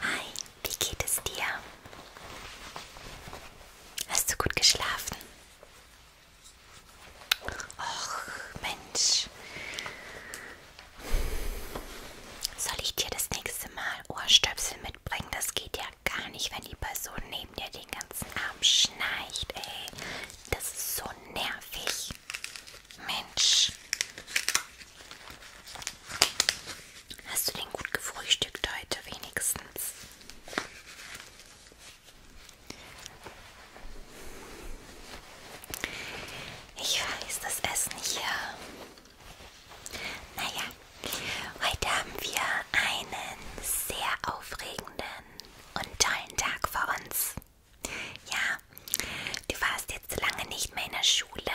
Hi, wie geht es dir? Hast du gut geschlafen? Och, Mensch. Soll ich dir das nächste Mal Ohrstöpsel mitbringen? Das geht ja gar nicht, wenn die Person neben dir den ganzen Abend schnarcht, ey. Das ist so nervig. Mensch. Hast du denn gut gefrühstückt heute wenigstens? Ich weiß, das Essen hier. Naja, heute haben wir einen sehr aufregenden und tollen Tag vor uns. Ja, Du warst jetzt lange nicht mehr in der Schule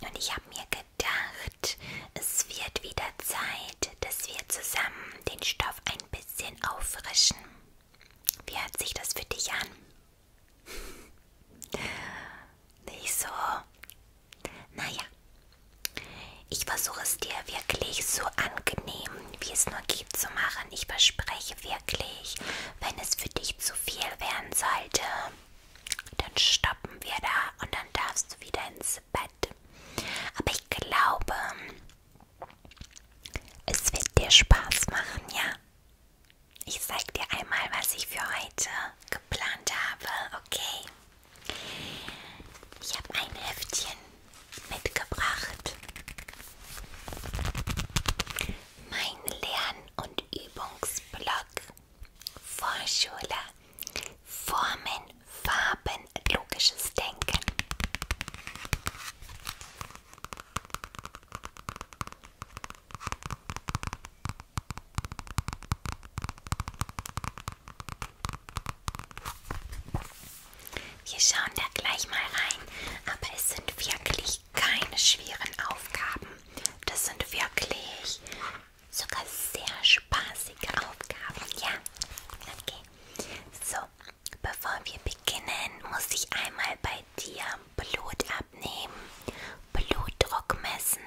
und ich habe mir gedacht, es wird wieder Zeit, dass wir zusammen den Stoff ein bisschen auffrischen. Wie hört sich das für dich an? Nicht so. Naja, ich versuche es dir wirklich so angenehm, wie es nur geht, zu machen. Ich verspreche wirklich, wenn es für dich zu viel werden sollte, dann stoppen wir da und dann darfst du wieder ins Bett. Aber ich glaube, es wird dir Spaß machen, ja? Ich zeig dir einmal, was ich für heute geplant habe, okay? Ich habe ein Heftchen mitgebracht. Mein Lern- und Übungsblock. Vorschule, Formen, Farben, logisches Denken. Wir schauen da gleich mal rein, aber es sind wirklich wirklich keine schweren Aufgaben. Das sind wirklich sogar sehr spaßige Aufgaben. Ja, okay. So, bevor wir beginnen, muss ich einmal bei dir Blut abnehmen, Blutdruck messen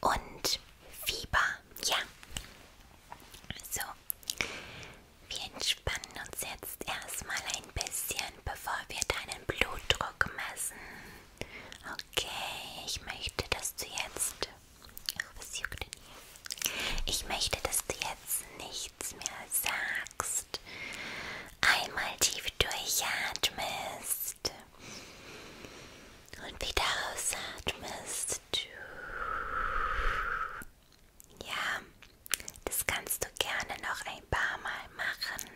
und Fieber. Ja. So, wir entspannen uns jetzt erstmal ein bisschen, bevor wir deinen Blutdruck Druck messen. Okay, ich möchte, dass du jetzt. Oh, was juckt denn hier? Ich möchte, dass du jetzt nichts mehr sagst. Einmal tief durchatmest. Und wieder ausatmest. Ja, das kannst du gerne noch ein paar Mal machen.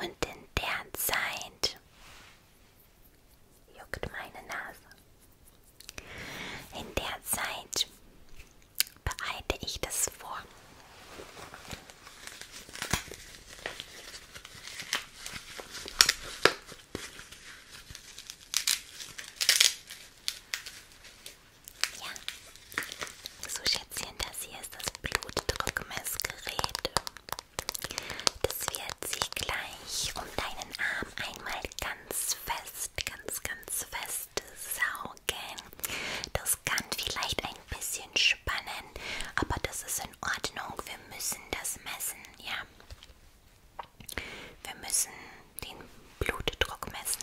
Und in der Zeit juckt meine Nase. In der Zeit bereite ich das vor. Ja. So Schätzchen, das hier ist das Blutdruckmessgerät. Das wird sich gleich um deinen Arm einmal ganz fest, ganz, ganz fest saugen. Das kann vielleicht ein bisschen spannen, aber das ist in Ordnung. Wir müssen das messen, ja. Wir müssen den Blutdruck messen.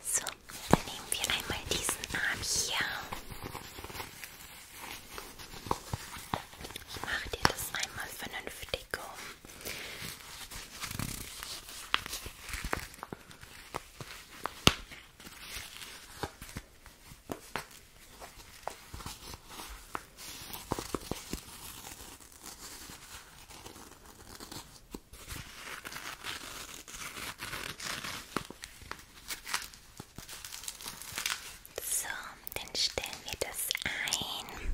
So, dann nehmen wir einmal diesen Arm hier. Ich mache dir das einmal vernünftig um. So. So, dann stellen wir das ein.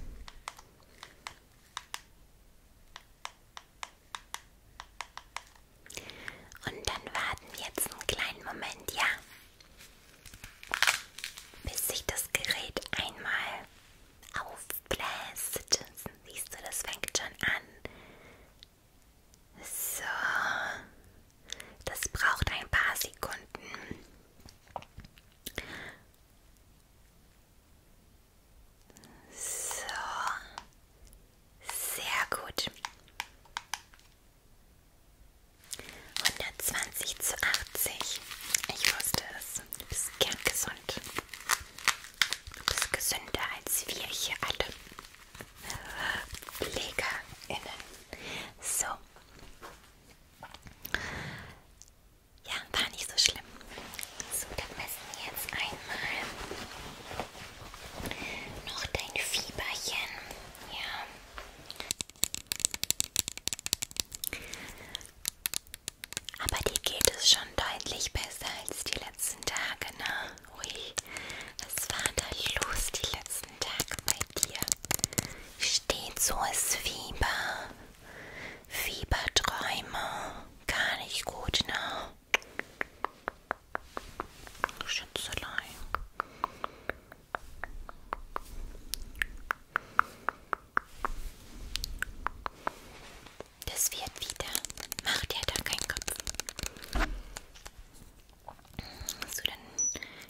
Und dann warten wir jetzt einen kleinen Moment, ja? Bis sich das Gerät einmal aufbläst. Siehst du, das fängt schon an. So. Das braucht ein paar Sekunden. So. Sehr gut. 120 zu 80. Ich wusste es. Du bist kerngesund. Du bist gesünder als wir hier alle PflegerInnen. So. Ja, war nicht so schlimm. So, dann messen wir jetzt einmal noch dein Fieberchen, ja. Aber dir geht es schon deutlich besser als die letzten Tage, ne? Ui, was war da los die letzten Tage bei dir? Steht so es Fieber, Fieberträume, gar nicht gut, ne? Schützelein. Das wird wieder. Mach dir da keinen Kopf. So, dann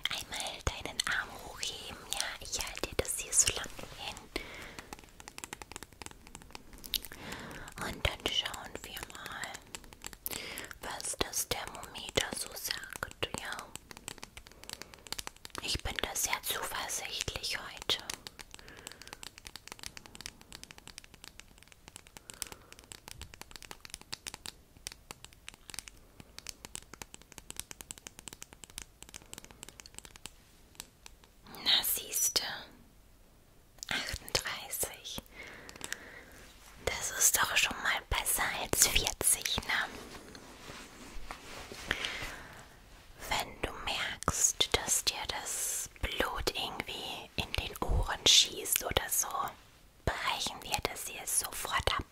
einmal deinen Arm hochheben. Ja, ich halte dir das hier so lang hin. Und dann schauen wir mal was das Thermometer so sagt, ja. Ich bin da sehr zuversichtlich heute. Na siehste, 38. Das ist doch schon mal besser als 40, ne? Wenn du merkst, dass dir das Blut irgendwie in den Ohren schießt oder so, brechen wir das hier sofort ab.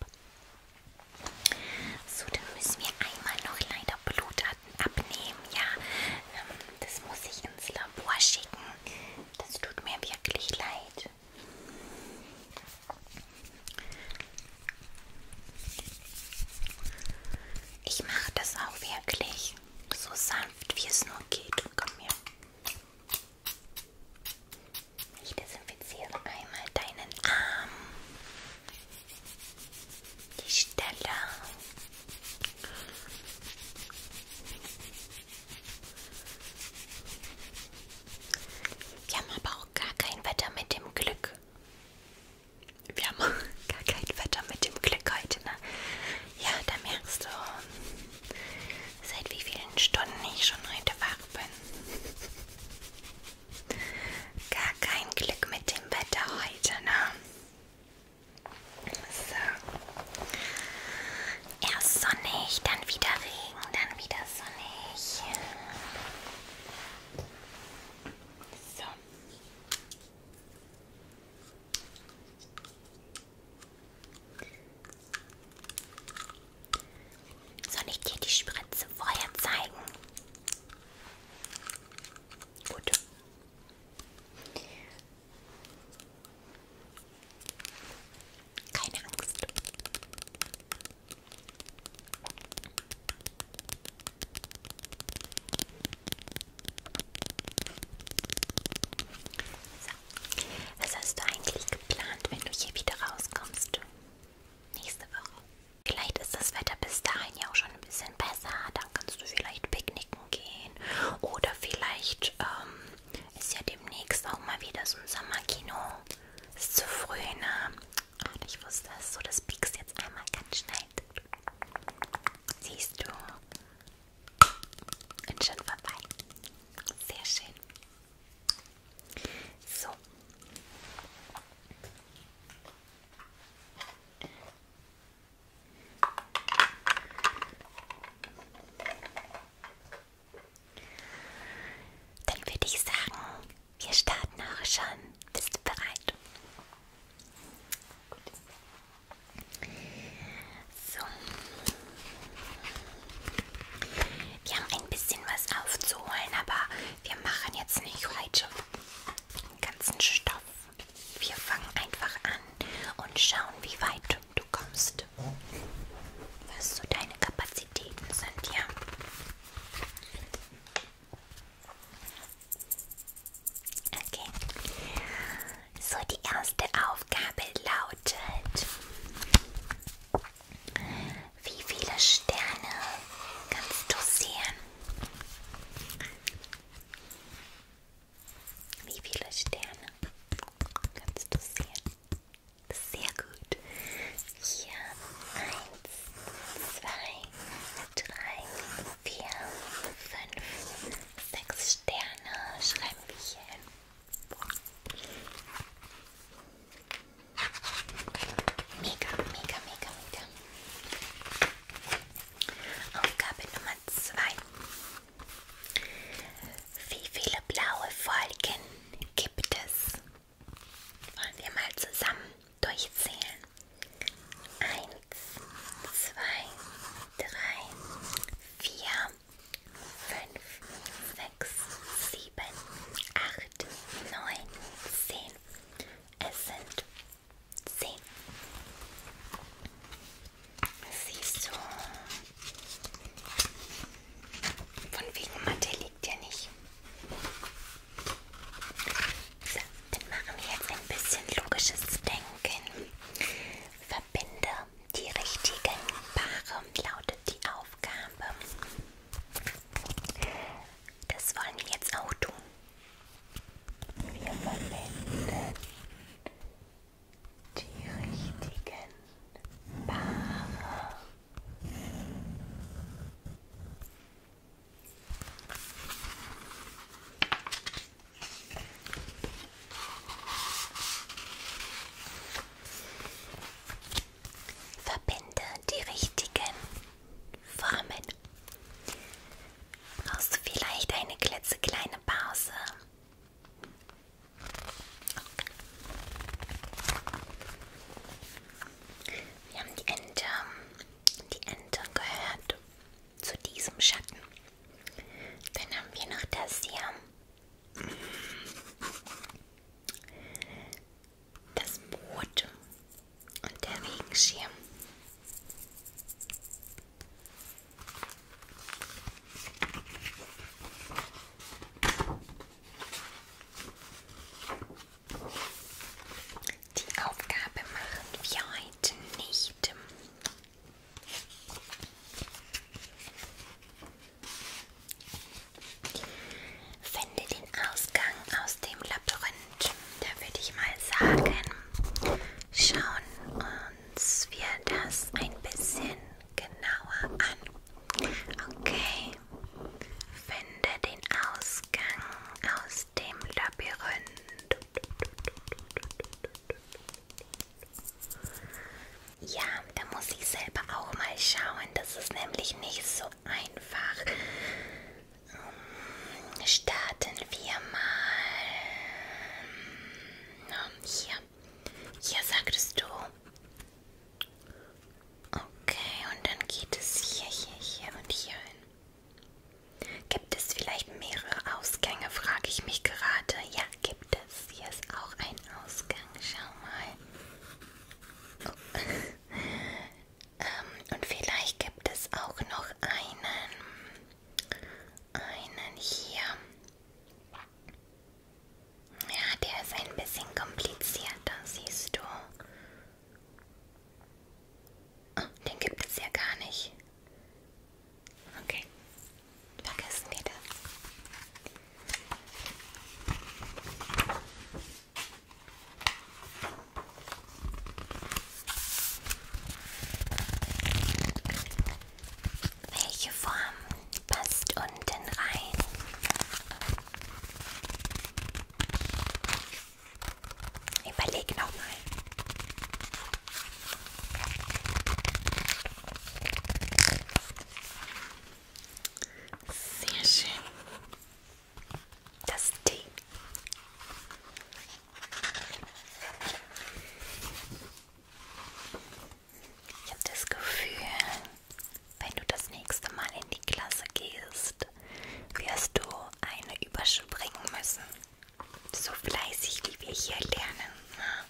So, dann müssen wir einmal noch leider Blutarten abnehmen, ja. Ähm, das muss ich ins Labor schicken. Das tut mir wirklich leid. Ich mache das auch wirklich so sanft, wie es nur geht. Komm her. Ich desinfiziere einmal deinen Arm, die Stelle. Wir haben aber auch gar kein Wetter mit dem Glück. Wir haben gar kein Wetter mit dem Glück heute, ne? Ja, da merkst du, seit wie vielen Stunden ich schon heute wach bin. Gar kein Glück mit dem Wetter heute, ne? So. Erst sonnig, dann wieder Regen, dann wieder sonnig. So. Soll ich dir die Spritze vorher zeigen? Gut. Keine Angst. So. Was hast du eigentlich geplant, wenn du hier wieder rauskommst? Nächste Woche. Vielleicht ist das Wetter bis dahin ja auch schon ein bisschen besser. Dann kannst du vielleicht Picknick Reiten gehen oder vielleicht ähm, ist ja demnächst auch mal wieder so ein Sommerkino. Ist zu früh, ne? Und ich wusste es so, das piekst jetzt einmal ganz schnell. Siehst du? Und schon vorbei. Sehr schön. So. Dann würde ich sagen, wir starten auch schon. Bist du bereit? Gut. So. Wir haben ein bisschen was aufzuholen, aber wir machen jetzt nicht heute den ganzen Stoff. Wir fangen einfach an und schauen, wie weit du kommst. Was so deine Kapazitäten sind, ja. Okay. So, die erste Aufgabe lautet: Wie viele Sterne kannst du sehen? Wie viele Sterne kannst du sehen? Sehr gut. Hier eins, zwei, drei, vier, fünf, sechs Sterne schreiben wir hier hin. Mega, mega, mega, mega. Aufgabe Nummer zwei. Wie viele blaue Folgen gibt es? Wollen wir mal zusammen durchzählen. Eins, zwei, drei, vier, fünf, sechs, sieben, acht, neun, zehn. Es sind sehen. Siehst du? Von wegen Mathe liegt ja nicht. So, dann machen wir jetzt ein bisschen logisches Denken. Verbinde die richtigen Paare, lautet die Aufgabe. Das wollen wir jetzt auch tun. Wir verwenden die richtigen Paare. Verbinde die richtigen Formen. Brauchst du vielleicht eine klitzekleine Pause? Okay. Wir haben die Ente, die Ente gehört zu diesem Schatten. Dann haben wir noch das hier. Das Boot und der Regenschirm. Die Aufgabe machen wir heute nicht. Finde den Ausgang aus dem Labyrinth da würde ich mal sagen, schauen uns wir das ein bisschen genauer an. Okay, finde den Ausgang aus dem Labyrinth. Ja, da muss ich selber auch mal schauen. Das ist nämlich nicht so einfach. Starten wir mal. Ähm, hier. Hier sagtest du. Okay, und dann geht es hier, hier, hier und hier hin. Gibt es vielleicht mehrere Ausgänge, frage ich mich gerade. Ja, gibt es. Hier ist auch ein Ausgang. Schau mal. Oh. ähm, und vielleicht gibt es auch noch einen einen hier. Ja, der ist ein bisschen komplizierter, siehst du. Oh, den gibt es ja gar nicht. Okay, vergessen wir das. Welche Form passt unten rein? Überleg nochmal. Sehr schön. Das T. Ich habe das Gefühl, wenn du das nächste Mal in die Klasse gehst, wirst du eine überspringen müssen. So fleißig, wie wir hier lernen. Ne?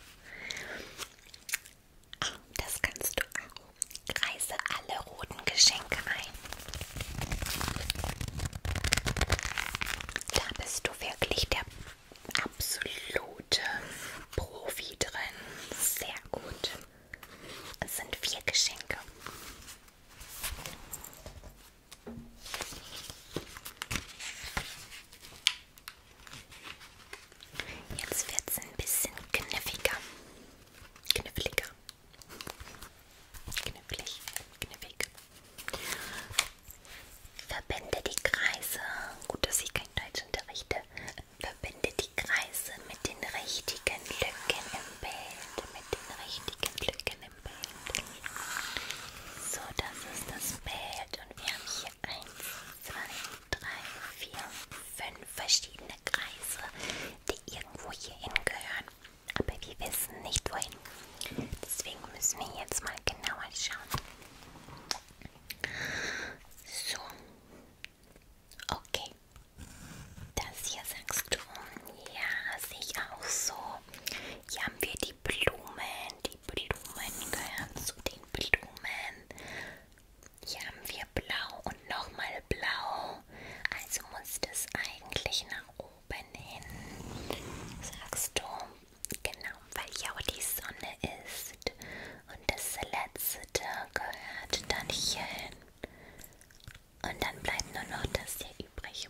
Das kannst du auch. Kreise alle roten Geschenke ein. Da bist du wirklich der absolute Profi drin. Sehr gut. Es sind vier Geschenke. Jetzt wird es ein bisschen kniffiger. Kniffliger. Knüppelig, kniffig. Verbinde die Kreise. Gut, dass ich kein Deutsch unterrichte. Verbinde die Kreise mit den richtigen Lücken im Bild. Mit den richtigen Lücken im Bild. So, das ist das Bild. Und wir haben hier 1, 2, 3, 4, 5 verschiedene Kreise, die irgendwo hier hingehören aber wir wissen nicht wohin. Deswegen müssen wir jetzt mal genauer schauen. So. Okay. Das hier sagst du. Ja, sehe ich auch so. Hier haben wir die Blumen. Die Blumen gehören zu den Blumen. Hier haben wir blau und nochmal blau. Also muss das eigentlich nach oben oben hin, sagst du. Genau, weil ja auch die Sonne ist. Und das letzte gehört dann hier hin. Und dann bleibt nur noch das hier übrig.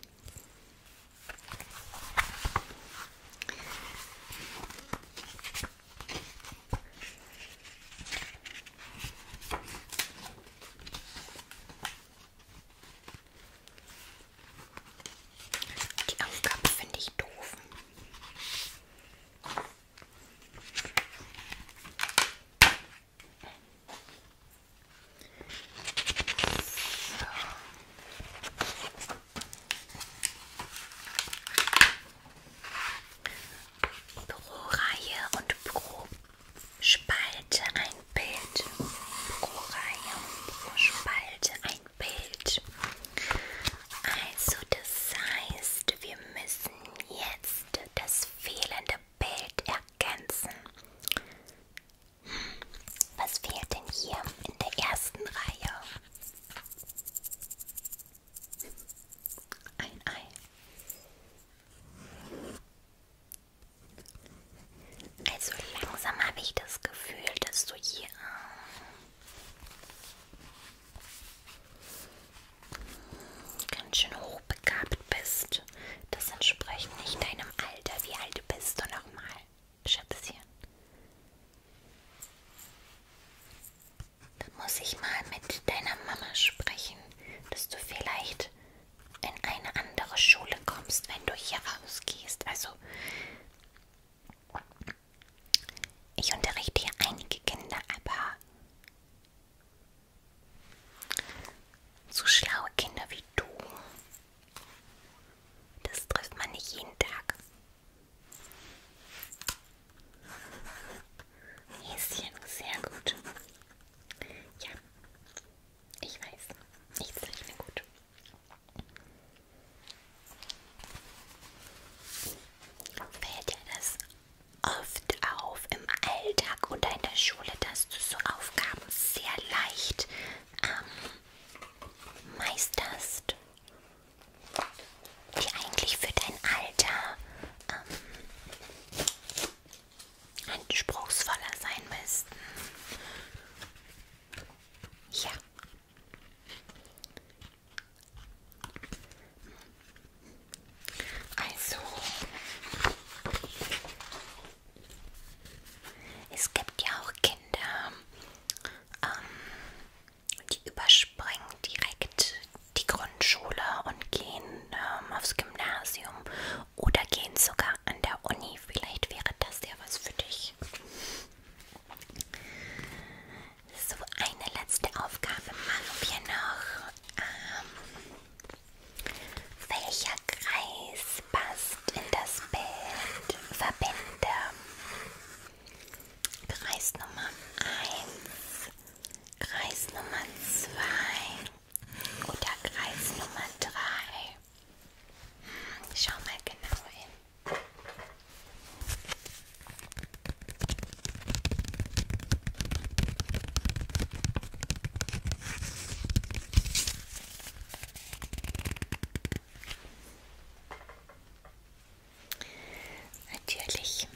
Die Aufgabe finde ich doof. So. Pro-Reihe und Probe. Spalte ein Bild. Pro Reihe pro Spalte ein Bild. Also das heißt, wir müssen jetzt das fehlende Bild ergänzen. Was fehlt denn hier in der ersten Reihe? Ein Ei. Also langsam habe ich das Gefühl, dass du hier ähm, ganz schön hochbegabt bist. Das entspricht nicht deinem Alter. Wie alt bist du nochmal, Schätzchen? Da muss ich mal mit deiner Mama sprechen, dass du vielleicht in eine andere Schule kommst, wenn du hier rausgehst. Also ich unterrichte hier einige Kinder, aber so schlaue Kinder wie du, das trifft man nicht jeden Tag. Häschen, sehr gut. Ja, ich weiß, ich zeichne gut. Fällt dir das oft auf im Alltag oder in der Schule, dass du so Aufgaben sehr leicht ähm, meisterst, die eigentlich für dein Alter ähm, anspruchsvoller sein müssten. Ja. Also, es gibt ja auch Kinder, ähm, die überspringen direkt die Grundschule und gehen ähm, aufs Gymnasium oder gehen sogar an der Uni. Vielleicht wäre das ja was für dich. So, eine letzte Aufgabe machen wir noch. Ähm, welcher Kreis passt in das Bild? Verbinde. Kreis Nummer 1, Kreis Nummer 2, oder Kreis Nummer 3. Hm, schau mal genau hin. Natürlich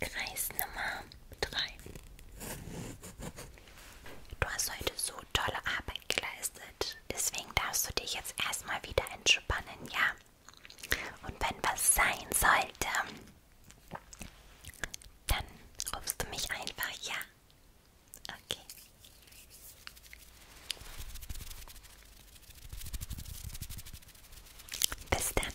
Kreis Nummer drei. Du hast heute so tolle Arbeit geleistet. Deswegen darfst du dich jetzt erstmal wieder entspannen, ja? Und wenn was sein sollte, dann rufst du mich einfach, ja? Okay. Bis dann.